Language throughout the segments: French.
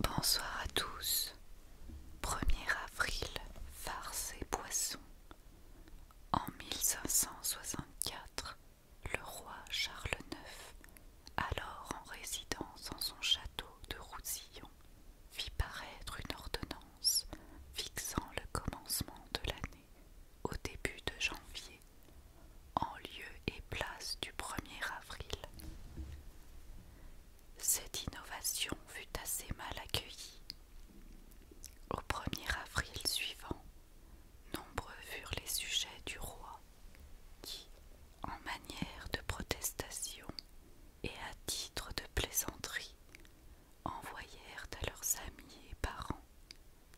Bonsoir à tous. 1er avril, farce et poisson. En 1564, le roi Charles IX, alors en résidence en son château de Roussillon, fit paraître une ordonnance fixant le commencement de l'année au début de janvier, en lieu et place du 1er avril. Cette innovation fut assez mal accueillie. Au 1er avril suivant, nombreux furent les sujets du roi qui, en manière de protestation et à titre de plaisanterie, envoyèrent à leurs amis et parents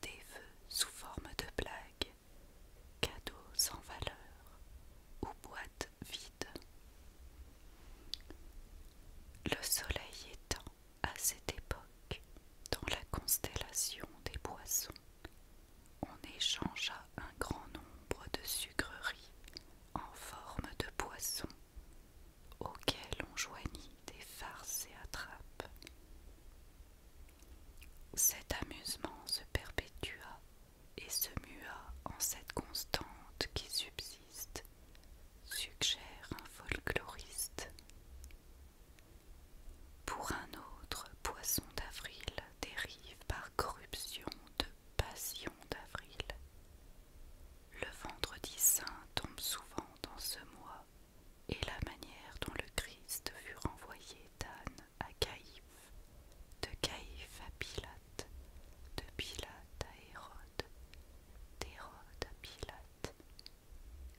des vœux sous forme de blagues, cadeaux sans valeur ou boîtes vides. Le soleil étant à cette époque dans la constellation des boissons on échangea un grand nombre de sucreries en forme de poisson auquel on joignit des farces et attrapes. Cet amusement se perpétua et se mua en cette constante qui subsiste, suggère un folkloriste. Pour un autre, Poisson d'avril dérive par corruption de Passion d'avril. Le vendredi saint tombe souvent dans ce mois, et la manière dont le Christ fut renvoyé d'Anne à Caïphe, de Caïphe à Pilate, de Pilate à Hérode, d'Hérode à Pilate,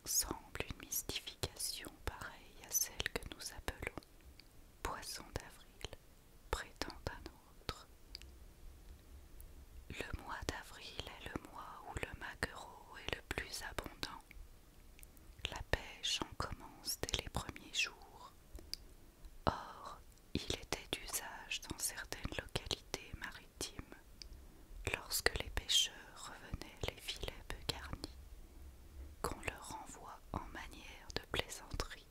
semble une mystification pareille à celle que nous appelons poisson d'avril prétend un autre. Le mois d'avril est le mois où le maquereau est le plus abondant. La pêche en commence dès les premiers jours. Or, il était d'usage dans certaines localités maritimes, lorsque les pêcheurs revenaient les filets peu garnis, qu'on leur envoie en manière de plaisanterie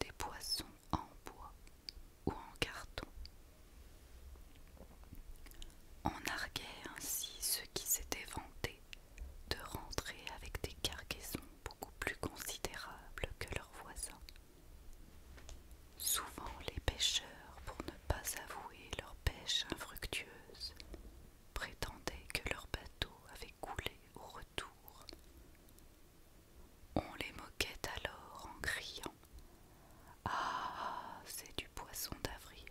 des poissons en bois ou en carton. On arguait ainsi ceux qui s'étaient vantés de rentrer avec des cargaisons beaucoup plus considérables que leurs voisins. Souvent les pêcheurs, pour ne pas avouer leur pêche infructueuse, prétendaient que leur bateau avait coulé au retour on les moquait alors en criant. Ah, c'est du poisson d'avril,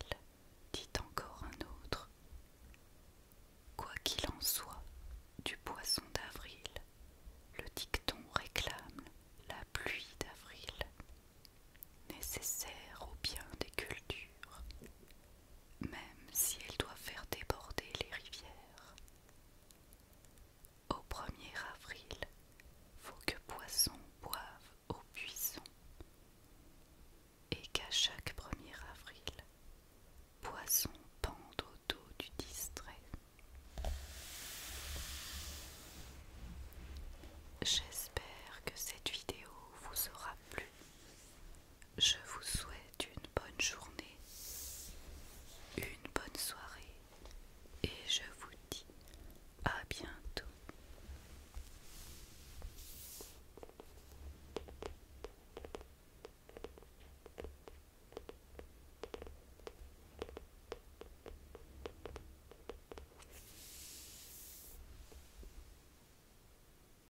dit encore un autre. Quoi qu'il en soit, du poisson d'avril, le dicton réclame la pluie d'avril, nécessaire au bien des cultures, même si elle doit faire déborder les rivières. Au 1er avril, faut que Poisson boive au buisson, et qu'à chaque 1er avril, Poisson pende au dos du distrait. J'espère que cette vidéo vous aura plu. Je vous souhaite une bonne journée, une bonne soirée et je vous dis à bientôt.